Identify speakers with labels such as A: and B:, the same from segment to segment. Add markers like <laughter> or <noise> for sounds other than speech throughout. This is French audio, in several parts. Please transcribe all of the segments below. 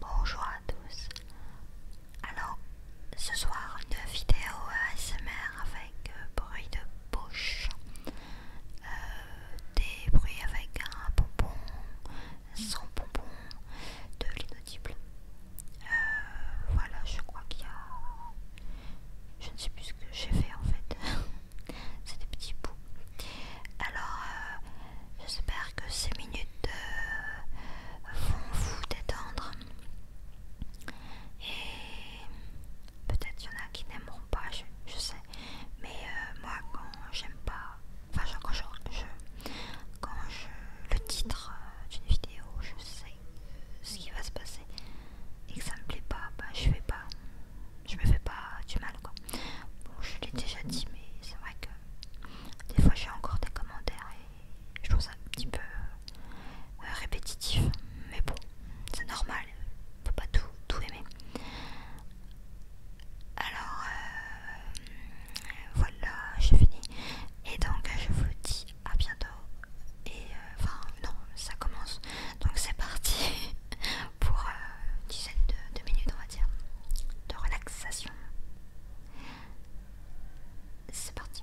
A: Bonjour à tous. Alors, ce soir, une vidéo euh, ASMR euh, bruit de poche, euh, des bruits avec un bonbon, sans bonbon, de l'inaudible. Euh, voilà, je crois qu'il y a. Je ne sais plus ce que j'ai fait en fait. <laughs> C'est des petits bouts. Alors, j'espère que ces minutes vont vous détendre. Et Peut-être qu'il y en a qui n'aimeront pas, je, sais. Mais euh, moi, quand j'aime pas. Enfin, quand je, quand je. Le titre euh, d'une vidéo, je sais ce qui va se passer et que ça me plaît pas, bah, je vais pas. Je me fais pas du mal, Bon, je l'ai déjà dit, mais c'est vrai que. Des fois, j'ai encore des commentaires et je trouve ça un petit peu. Euh, euh, répétitif, mais bon, c'est normal, on peut pas tout, aimer. Alors euh, voilà, j'ai fini. Et donc je vous dis à bientôt. Et euh, enfin non, ça commence. Donc c'est parti <laughs> pour une dizaine de, de minutes on va dire de relaxation. C'est parti.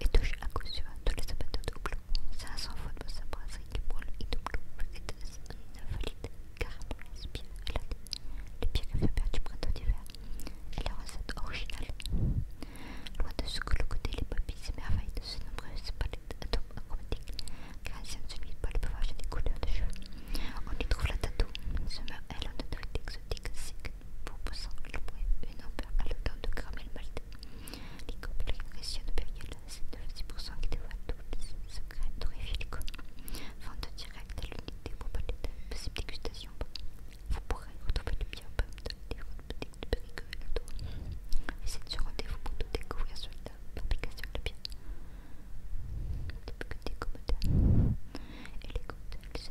A: Et touche à cause du vent tous les sapins de double. C'est à fois de sa brasserie qui brûle et double. Elle est ainsi une invalide car elle m'inspire à l'année. Le pire qu'elle du printemps d'hiver. Elle est recette originale. Loin de ce que le côté, les papilles s'émerveillent de ces nombreuses palettes d'atomes aromatiques. Car les anciens ne se mettent pas à le pouvoir des couleurs de cheveux. On y trouve la tattoo. Ils se meurent à l'endroit de l'exode poussant Dixig proposant une ampère à l'odeur de caramel maltais. Les couples impressionnent Périel, c'est 96% qui dévoile tous les secrets d'Auréphilico. Vente directe à l'unité pour pas de possible dégustation. Vous pourrez retrouver le bien pomme dans les boutique de Périgueux et le tour. Et c'est sur rendez-vous pour tout découvrir sur la fabrication de bière. Des commodales et les cocktails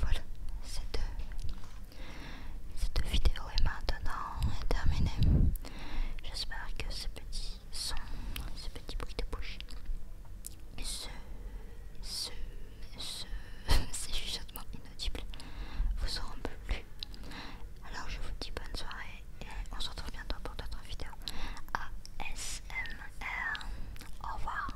A: Voilà, cette, cette vidéo est maintenant terminée. J'espère que ces petits son, ce petit bruit de bouche, ce, ce, ce, <laughs> ces inaudibles vous auront plu. Alors je vous dis bonne soirée et on se retrouve bientôt pour d'autres vidéos ASMR. Au revoir.